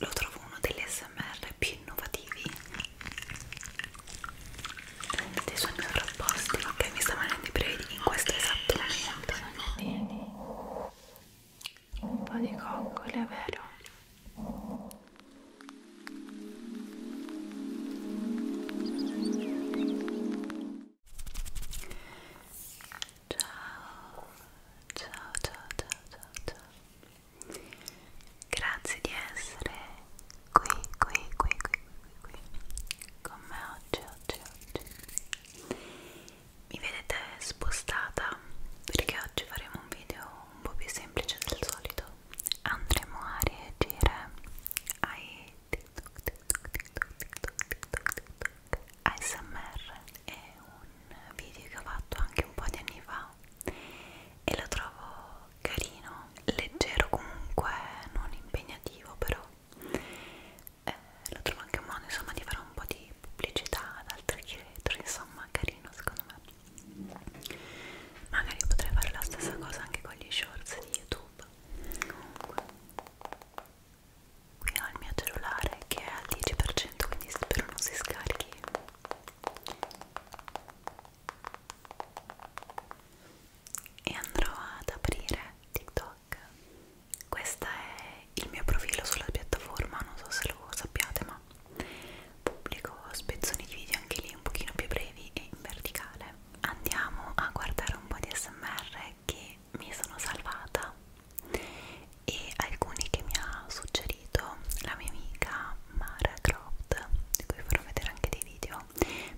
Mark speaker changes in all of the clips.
Speaker 1: lo trovo uno degli smr più innovativi dei suoni sovrapposti che mi sta venendo i brividi in questo esatto momento vieni un po' di coccole vero? Ciao, ciao, ciao, ciao, ciao, ciao. Grazie di essere qui, qui, qui, qui, qui, qui, con me oggi, oggi, oggi. Mi vedete spostata perché oggi faremo un video un po' più semplice del solito. Andremo a reagire ai TikTok, TikTok, TikTok, TikTok, TikTok, TikTok. ASMR è un video che ho fatto anche un po' di anni fa Mela e lo trovo carino, leggero comunque, non impegnativo però eh, lo trovo anche un modo insomma di fare un po' di pubblicità ad altri creatori, insomma carino secondo me magari potrei fare la stessa cosa anche con gli shorts di YouTube comunque qui ho il mio cellulare che è al 10% quindi spero non si scarichi e andrò ad aprire TikTok. Questo è il mio profilo sulla piattaforma, non so se lo sappiate, ma pubblico spezzoni di video anche lì un pochino più brevi e in verticale. Andiamo a guardare un po' di SMR che mi sono salvata e alcuni che mi ha suggerito la mia amica Mara Croft di cui farò vedere anche dei video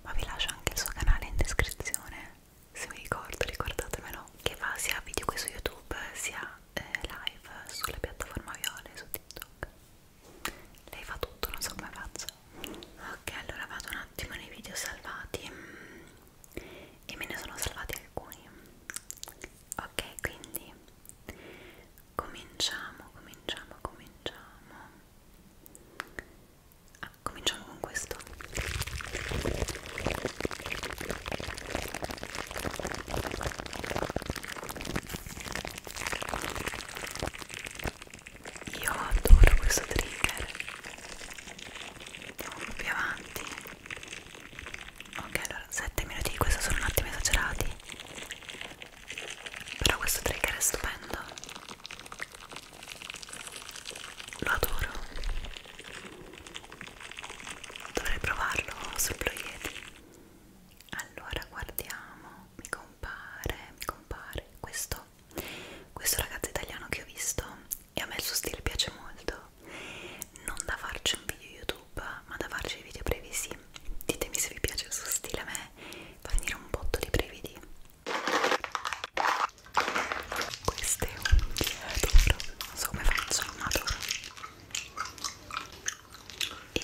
Speaker 1: ma vi lascio anche il suo canale in descrizione se mi ricordo ricordatemelo che fa sia video qui su youtube sia eh, live sulla piattaforma Viole su tiktok lei fa tutto non so come faccia ok allora vado un attimo nei video salvati e me ne sono salvati alcuni ok quindi cominciamo, cominciamo, cominciamo. Ah, cominciamo con questo. Io adoro questo trigger. Andiamo più avanti ok allora 7 minuti di questo sono un attimo esagerati però questo trigger è stupendo lo adoro dovrei provarlo sul Blue Yeti allora guardiamo mi compare mi compare questo questo ragazzo italiano che ho visto e a me il suo stile piace molto non da farci un video youtube YouTube, ma da farci i video brevisi. Ditemi se vi piace il suo stile, a me fa venire un botto di brividi. Queste unghie adoro, non so come faccio, ma adoro. E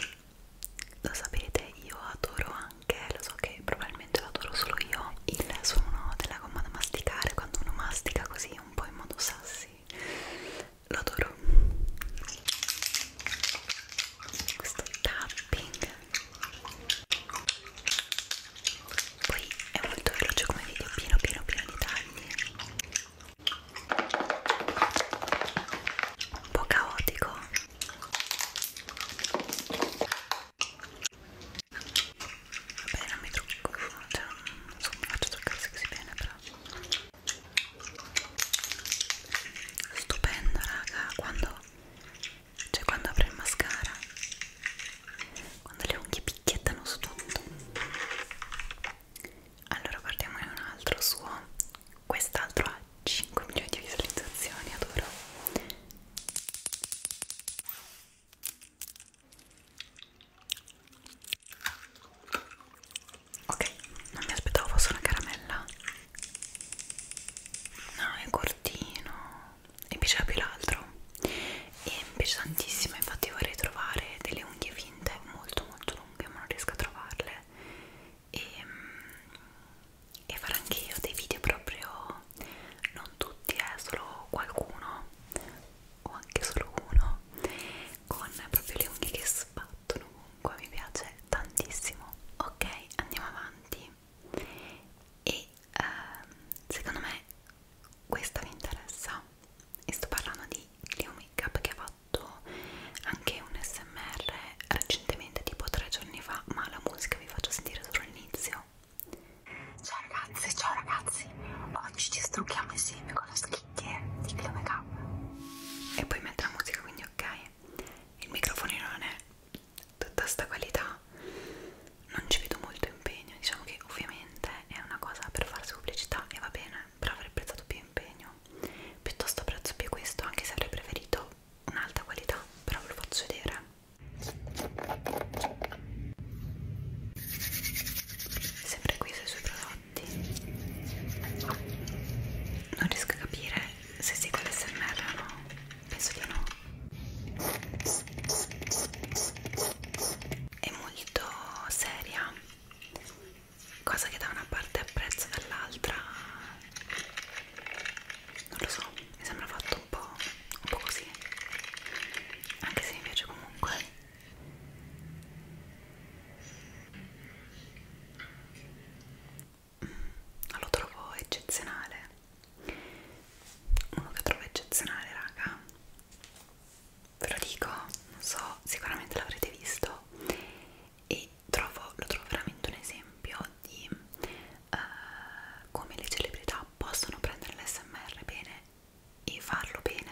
Speaker 1: lo sapete, io adoro anche, lo so che probabilmente lo adoro solo io, il suono della gomma da masticare quando uno mastica così un po' in modo sassi lo adoro questo tapping poi è molto veloce come video pieno pieno pieno di tagli un po' caotico vabbè non mi trucco cioè non so come faccio a truccarsi così bene però stupendo raga quando cioè quando apro il mascara quando le unghie picchiettano su tutto allora guardiamo un altro suo quest'altro ha 5 milioni di visualizzazioni adoro Ok, non mi aspettavo fosse una caramella. No, è cortino. E mi piaceva più l'altro. E mi piace tantissimo, infatti vorrei trovare delle unghie finte molto molto lunghe, ma non riesco a trovarle. Ehm, e, e farò anche io dei video proprio, non tutti, eh, solo qualcuno, o anche solo uno, con proprio le unghie che sbattono acqua mi piace tantissimo ok andiamo avanti e uh, secondo me questa mi interessa e sto parlando di Clio Makeup che ha fatto anche un smr recentemente tipo tre giorni fa ma la musica vi faccio sentire solo all'inizio ciao ragazzi ciao ragazzi oggi ci strucchiamo insieme con la skin chicche di Chloe Cup e poi metto la musica quindi ok il microfonino non è tutta sta qualità non ci vedo molto impegno diciamo che ovviamente è una cosa per farsi pubblicità e va bene però avrei prezzato più impegno piuttosto prezzo più questo anche se avrei preferito un'alta qualità però ve lo faccio vedere Sempre qui sui suoi prodotti fatti non riesco a capire se segue l'SMR o no penso di no è molto seria cosa che da una parte apprezzo dall'altra non lo so mi sembra fatto un po', un po' così anche se mi piace comunque lo trovo eccezionale uno che trovo eccezionale raga ve lo dico non so sicuramente l'avrete visto e trovo, lo trovo veramente un esempio di uh, come le celebrità possono prendere l'SMR bene e farlo bene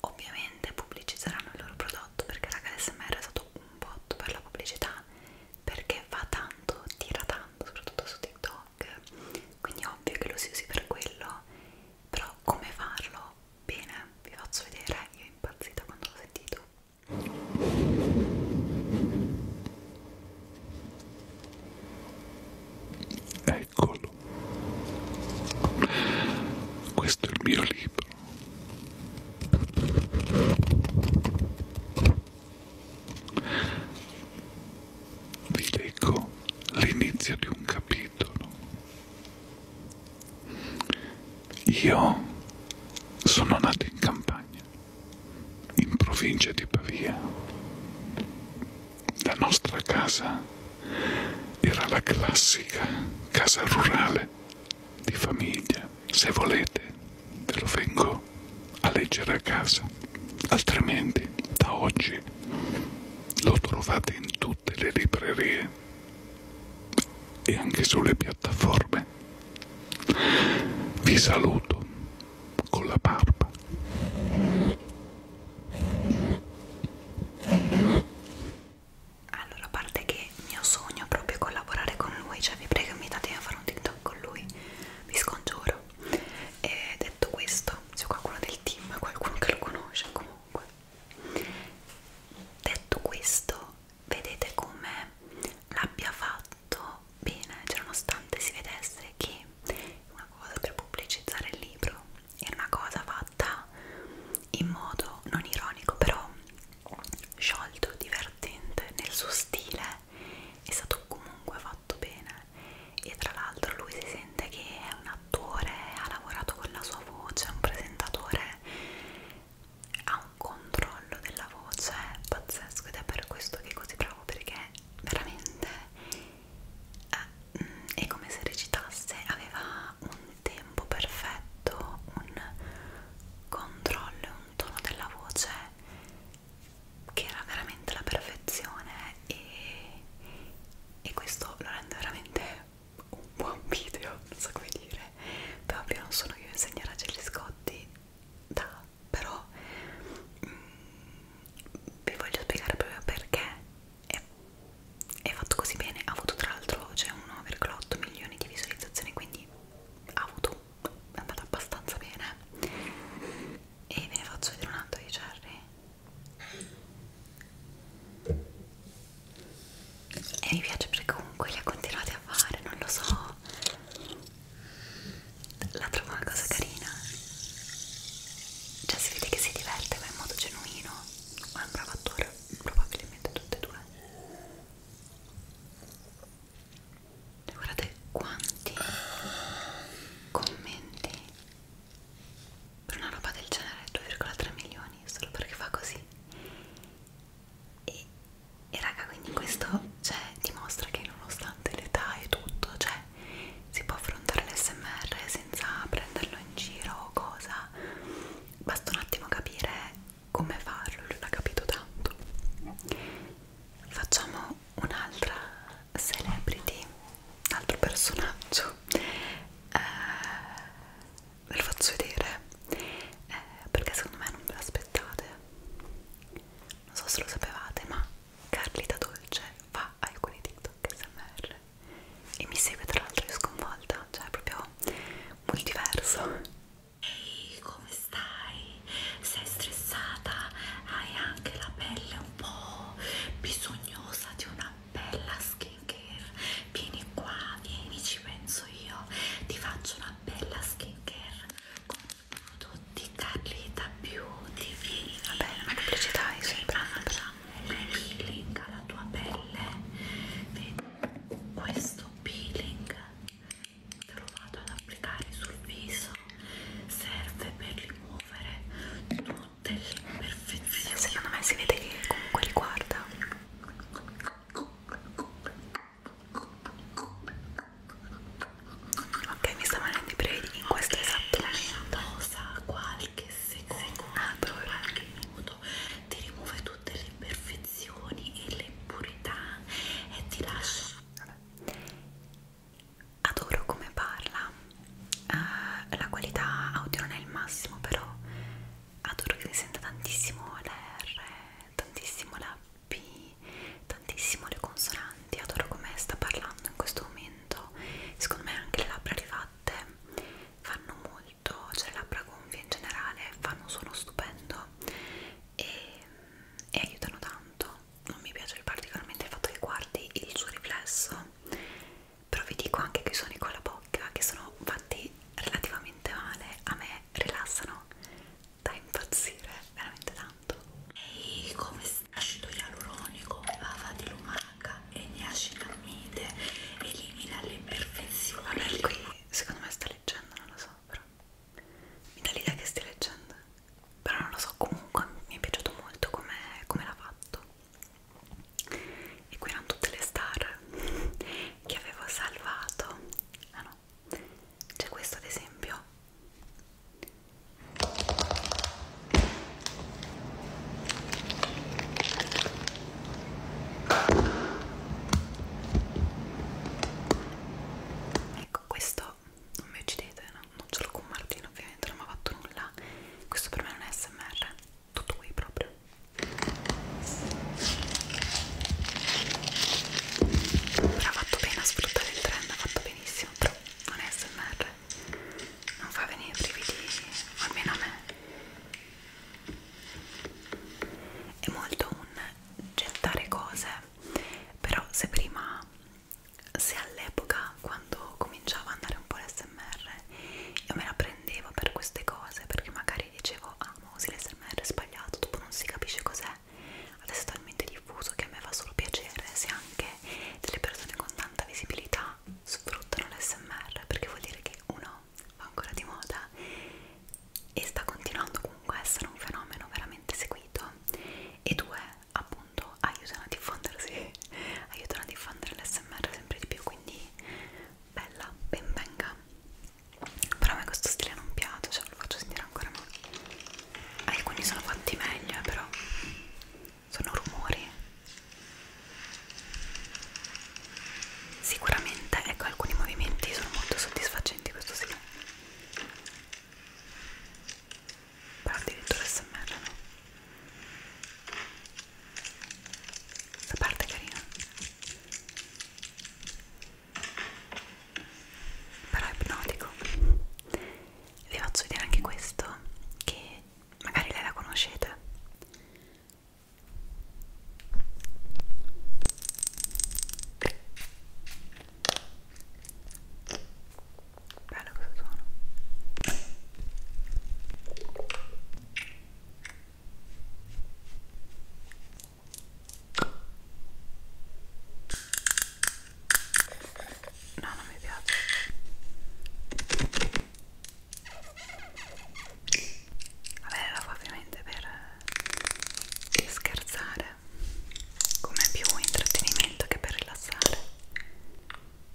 Speaker 1: ovviamente pubblicizzeranno il loro prodotto perché raga l'SMR è stato un botto per la pubblicità perché va tanto, tira tanto, soprattutto su TikTok quindi è ovvio che lo si usi per quello però come farlo? bene, vi faccio vedere io impazzita quando l'ho sentito Eccolo, questo è il mio libro. Vi leggo l'inizio di un capitolo. Io sono nato in campagna, in provincia di Pavia. La nostra casa era la classica casa rurale di famiglia. Se volete, ve lo vengo a leggere a casa. Altrimenti, da oggi lo trovate in tutte le librerie e anche sulle piattaforme. Vi saluto con la barba allora a parte che il mio sogno è proprio collaborare con lui cioè vi prego invitatemi a fare un tiktok con lui vi scongiuro e detto questo c'è qualcuno del team qualcuno che lo conosce comunque detto questo vedete come l'abbia fatto bene cioè nonostante si vedesse che una cosa per pubblicizzare il libro era una cosa fatta in modo non ironico però sciolto, divertente nel suo stile, è stato comunque fatto bene e tra l'altro lui si sente che è un attore, ha lavorato con la sua voce, è un presentatore, ha un controllo della voce pazzesco ed è per questo che è così bravo perché veramente eh, mm, è come se recitasse, aveva un un tempo perfetto, un controllo e un tono della voce che era veramente la perfezione e, e questo lo rende veramente un buon video, non so come dire, però ovvio non sono io a insegnare a Gelli Scotti, da, però mm, vi voglio spiegare proprio perché è, è fatto così bene, ha avuto tra l'altro cioè 1,8 milioni di visualizzazioni, quindi ha avuto è andata abbastanza bene e ve ne faccio vedere un altro di Cherry e mi piace perché comunque li ha continuati a fare non lo so la trovo una cosa carina cioè si vede che si diverte ma in modo genuino ma è un bravo attore probabilmente tutte e due guardate quanti commenti per una roba del genere 2,3 milioni solo perché fa così e, e raga quindi questo cioè, dimostra che nonostante l'età e tutto cioè si può affrontare l'SMR senza prenderlo in giro o cosa basta un attimo capire come farlo, lui l'ha capito tanto. Facciamo un'altra celebrity, un altro personaggio, eh, ve lo faccio vedere eh, perché secondo me non ve l'aspettate. Non so se lo sapevate, ma Carlita Dolce fa alcuni TikTok SMR e mi segue tra l'altro sconvolta, cioè è proprio molto diverso Ehi, come stai? Sei stressata? Hai anche la pelle un po' bisognosa di una bella skincare? Vieni qua, vieni, ci penso io. Ti faccio una bella skincare con prodotti Carlita Beauty. Vieni, va bene, ma pubblicità hai sempre. Facciamo il peeling alla tua pelle. Vedi? Questo peeling lo vado ad applicare sul viso serve per rimuovere tutte le imperfezioni secondo me si vede che comunque li guarda ok mi sta venendo i brividi in questo okay, esatto momento qualche secondo, secondo qualche minuto ti rimuove tutte tutte le imperfezioni e le impurità e ti lascio adoro come parla uh, la qualità audio non è il massimo però adoro che si senta tantissimo la R tantissimo la P tantissimo le consonanti adoro come sta parlando in questo momento secondo me anche le labbra rifatte fanno molto cioè le labbra gonfie in generale fanno un suono stupendo e, mm, e aiutano tanto non mi piace particolarmente il fatto che guardi il suo riflesso però vi dico anche che i suoni con la bocca che sono fatti relativamente male a me rilassano da impazzire veramente tanto ehi come acido ialuronico lava di lumaca e niacinamide elimina le imperfezioni qui secondo me sta leggendo non lo so però mi dà l'idea che stia leggendo però non lo so comunque mi è piaciuto molto come com l'ha fatto e qui erano tutte le star che avevo salvato ah no c'è questo ad esempio ecco questo non mi uccidete no? non ce l'ho con Martino ovviamente non mi ha fatto nulla questo per me non è smr tutto qui proprio però ha fatto bene a sfruttare il trend ha fatto benissimo però non è smr non fa venire brividi almeno a me è molto un gettare cose però se prima se all'epoca quando cominciava ad andare un po' l'SMR io me la prendevo per queste cose perché magari dicevo ah ma usi l'SMR sbagliato dopo non si capisce cos'è adesso è talmente diffuso che a me fa solo piacere se anche delle persone con tanta visibilità sfruttano l'SMR perché vuol dire che uno va ancora di moda e sta continuando comunque a essere un fenomeno veramente seguito e due appunto aiutano a diffondersi aiutano a diffondere l'SMR sempre di più quindi bella ben venga però a me questo stile non piace cioè lo faccio sentire ancora ma alcuni sono fatti meglio eh, però sono rumori sicuramente ecco alcuni movimenti sono molto soddisfacenti questo sì però addirittura smr no? la parte è carina però è ipnotico vi faccio vedere anche questo che magari lei la conoscete Bello questo suono. No, non mi piace. Vabbè, era ovviamente per scherzare come più intrattenimento che per rilassare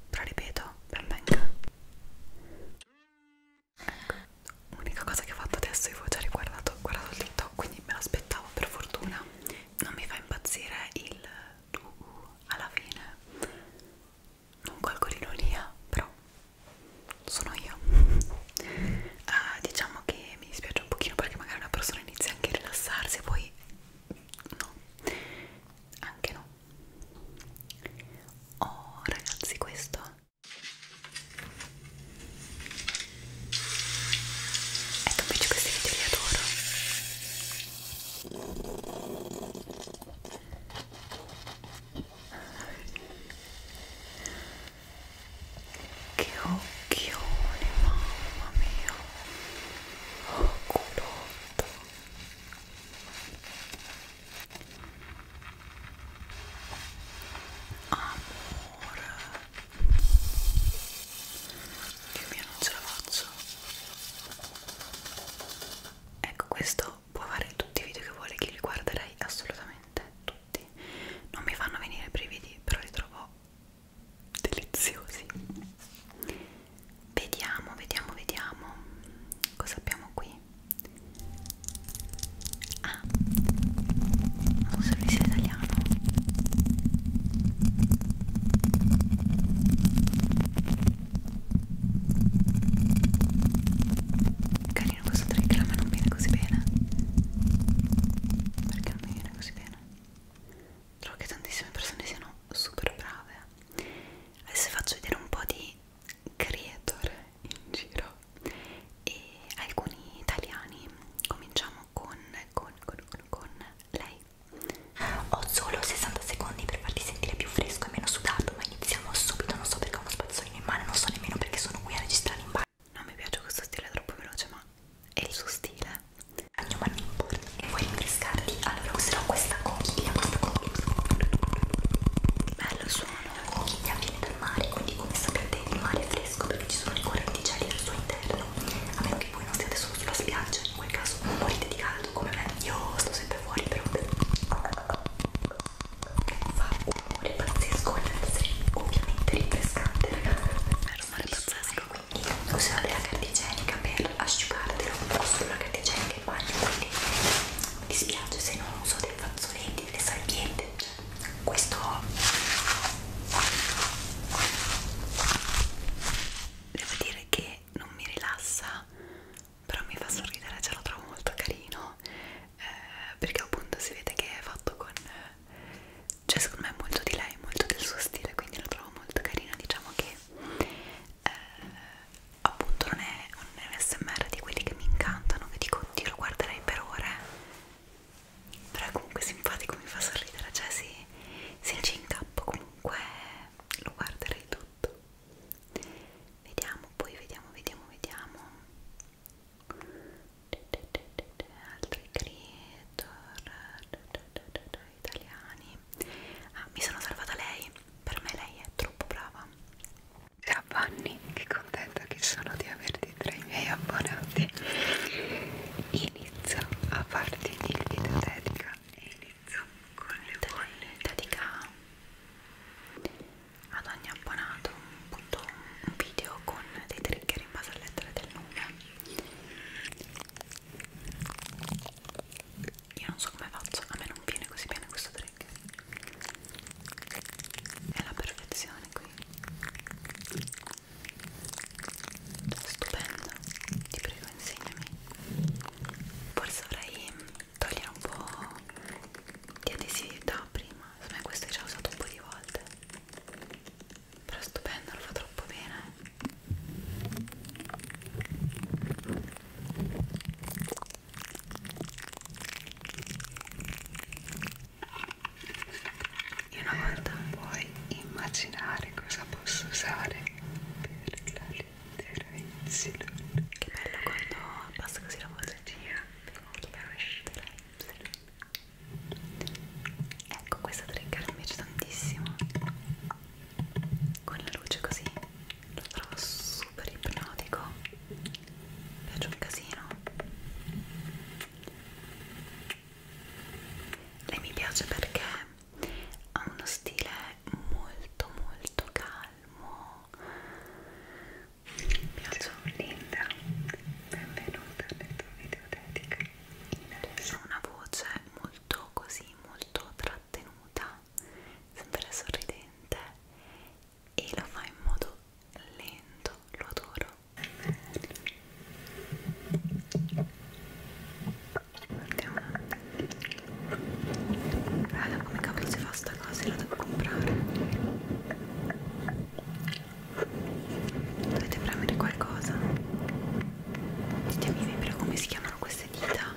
Speaker 1: però ripeto ben venga ecco l'unica cosa che ho fatto adesso io ho già riguardato guardato il tiktok quindi me l'aspettavo per fortuna non mi fa impazzire il uh, alla fine non colgo l'ironia però sono io uh, diciamo che mi dispiace un pochino perché magari una persona inizia anche a rilassarsi e poi no anche no oh ragazzi questo ecco invece questi video li adoro che occhioni, mamma mia! Oh, culotto! Amore! Dio mio, non ce la faccio! Ecco, questo può fare tutti i video che vuole, che li guarderei assolutamente tutti dolcetti non mi fanno venire brividi però li trovo deliziosi vediamo vediamo vediamo cosa abbiamo qui ah un servizio italiano carino questo trick ma non viene così bene perché andando bene così bene trovo che tantissime persone siano super brave adesso faccio vedere un po' di creator in giro e alcuni italiani cominciamo con con con con, con lei ho solo 60 secondi per farti sentire più fresco e meno sudato ma iniziamo subito non so perché ho uno spazzolino in mano non so nemmeno perché sono qui a registrare in mano non mi piace questo stile troppo veloce ma è il suo stile bagno bagno e vuoi rinfrescarti? allora userò questa conchiglia questa conchiglia bello suono la conchiglia viene dal mare quindi come sapete il mare è fresco perché ci sono i correnti gelidi al suo interno a meno che voi non stiate solo sulla spiaggia in quel caso non morite di caldo come me io sto sempre fuori però fa un rumore pazzesco ed essere ovviamente rinfrescante ragazzi rumore pazzesco io userò della carta igienica per asciugartelo uso la carta igienica in bagno quindi mi dispiace se non uso dei fazzoletti, delle salviette cioè, questo devo dire che non mi rilassa però mi fa sorridere, ce lo trovo molto carino eh, perché appunto si vede che è fatto con eh, cioè secondo me molto di lei, molto del suo stile, quindi la trovo molto carina, diciamo che eh, appunto non è un smr di quelli che mi incantano, che dico oddio lo guarderei per ore, però è comunque simpatico, mi fa sorridere, cioè se, se c'è in capo comunque lo guarderei tutto. Vediamo, poi vediamo, vediamo, vediamo altri creator italiani ah, mi sono salvata lei per me lei è troppo brava ciao Bonnie che contenta che sono di averti tra i miei abbonati inizio a farti il video dedica e inizio con le bolle dedica ad ogni abbonato un, punto, un video con dei trigger in base alle lettere del nome io non so come faccio, a me non viene così bene questo trick. È la perfezione qui. Stupendo, ti prego insegnami. Forse dovrei togliere un po' di adesività prima, secondo me questo è già usato un po' di volte però è stupendo, lo fa troppo bene eh. io una volta puoi immaginare cosa posso usare per la lettera Y che bello quando basta così la voce molto bella la lettera Y ecco questa trigger mi piace tantissimo con la luce così lo trovo super ipnotico mi piace un casino lei mi piace perché ha uno stile molto molto calmo mi piace Linda benvenuta nel tuo video dedica ha una voce molto così, molto trattenuta, sempre sorridente e lo fa in modo lento, lo adoro. Andiamo. Guarda come cavolo si fa sta cosa, la devo comprare dovete premere qualcosa ditemi vi come si chiamano queste dita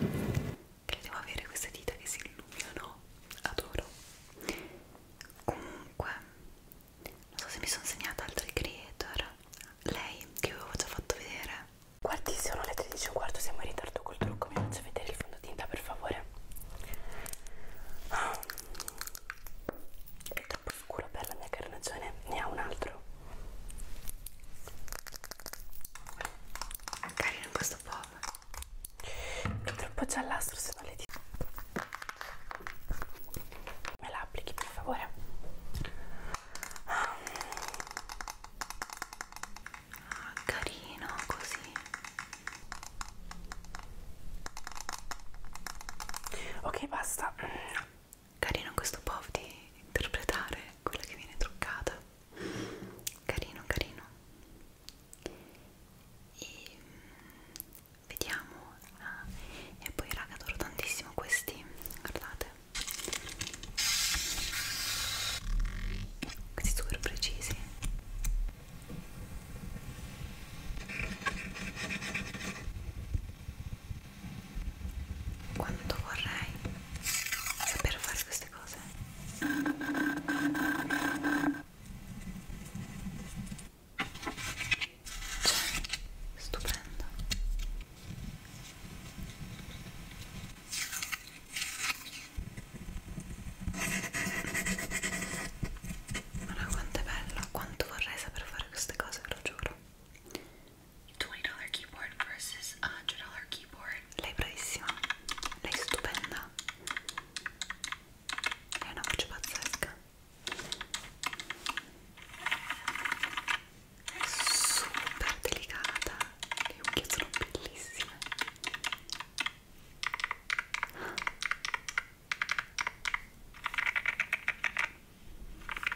Speaker 1: che devo avere queste dita che si illuminano adoro comunque non so se mi sono segnata altri creator lei che avevo già fatto vedere guardi sono le 13 quarto siamo in ritardo col trucco mi faccio vedere il fondotinta per favore troppo scuro per la mia carnagione ne ha un altro è carino questo pop è troppo giallastro se non le dico me la applichi per favore ah, carino così ok basta carino questo POV di interpretare quella che viene truccata carino carino e mm, vediamo ah, e poi raga adoro tantissimo questi guardate questi super precisi quanto vorrei saper fare queste cose cioè, stupendo ma no, quanto è bello, quanto vorrei saper fare queste cose, ve lo giuro $20 keyboard versus a $100 keyboard. Lei bravissima, lei stupenda. È una pazzesca. Super delicata, le unghie sono bellissime.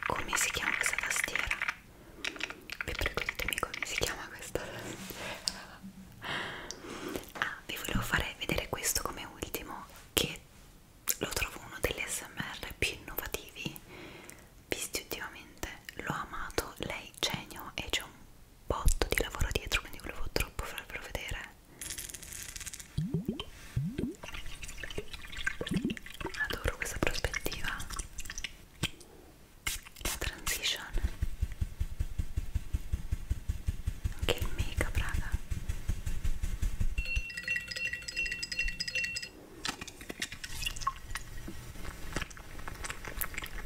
Speaker 1: come si chiama questa tastiera? vi prego ditemi come si chiama questa tastiera ah, vi volevo fare vedere questo come ultimo che lo trovo uno degli smr più innovativi visti ultimamente l'ho amato, lei genio e c'è un botto di lavoro dietro quindi volevo troppo farvelo vedere adoro questa prospettiva la transition anche il make up raga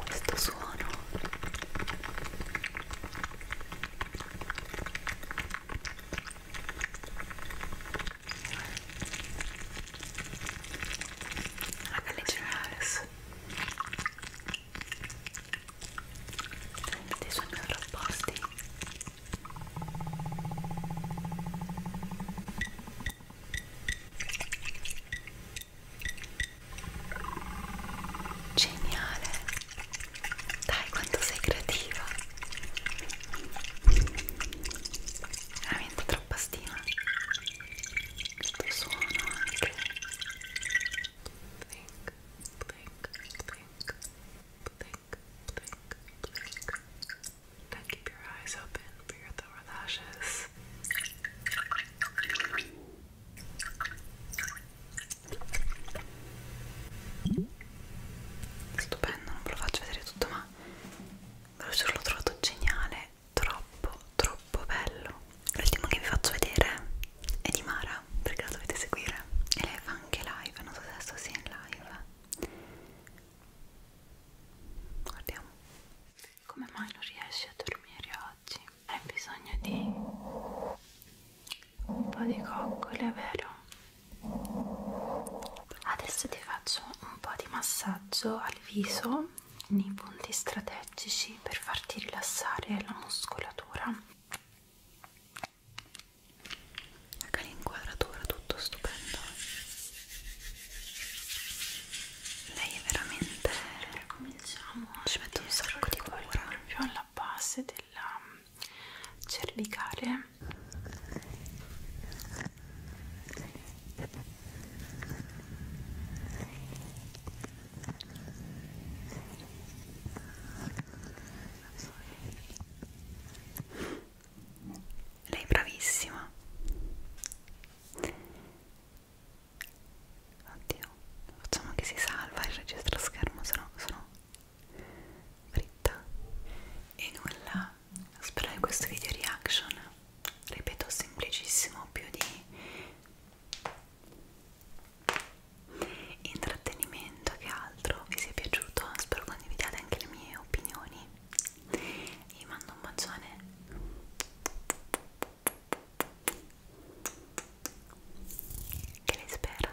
Speaker 1: questo suono Háganle señores. Dei suoni opposti. Geniale. Dai, quanto sei creativa veramente troppa stima il tuo suono anche blink, blink, blink, blink, blink, blink then keep your eyes open for your lower lashes stupendo, non ve lo faccio vedere tutto ma ma l'ho trovato geniale, troppo troppo bello. L'ultimo che vi faccio vedere è di Mara, perché la dovete seguire. E lei fa anche live, non so se adesso sia in live. Guardiamo. Come mai non riesci a dormire oggi? Hai bisogno di un po' di coccole, vero? Adesso ti faccio un po' di massaggio al viso nei punti strategici per farti rilassare la muscolatura. Ecco l'inquadratura, tutto stupendo. Lei è veramente... Allora, cominciamo. Ci metto un sacco di cura. Proprio alla base della mm, cervicale lei è bravissima. Oddio, facciamo che si salva il registro schermo, se no sono fritta. E nulla, spero che questo video reaction ripeto semplicissimo più di intrattenimento che altro vi sia piaciuto spero condividiate anche le mie opinioni vi mando un bacione che le spera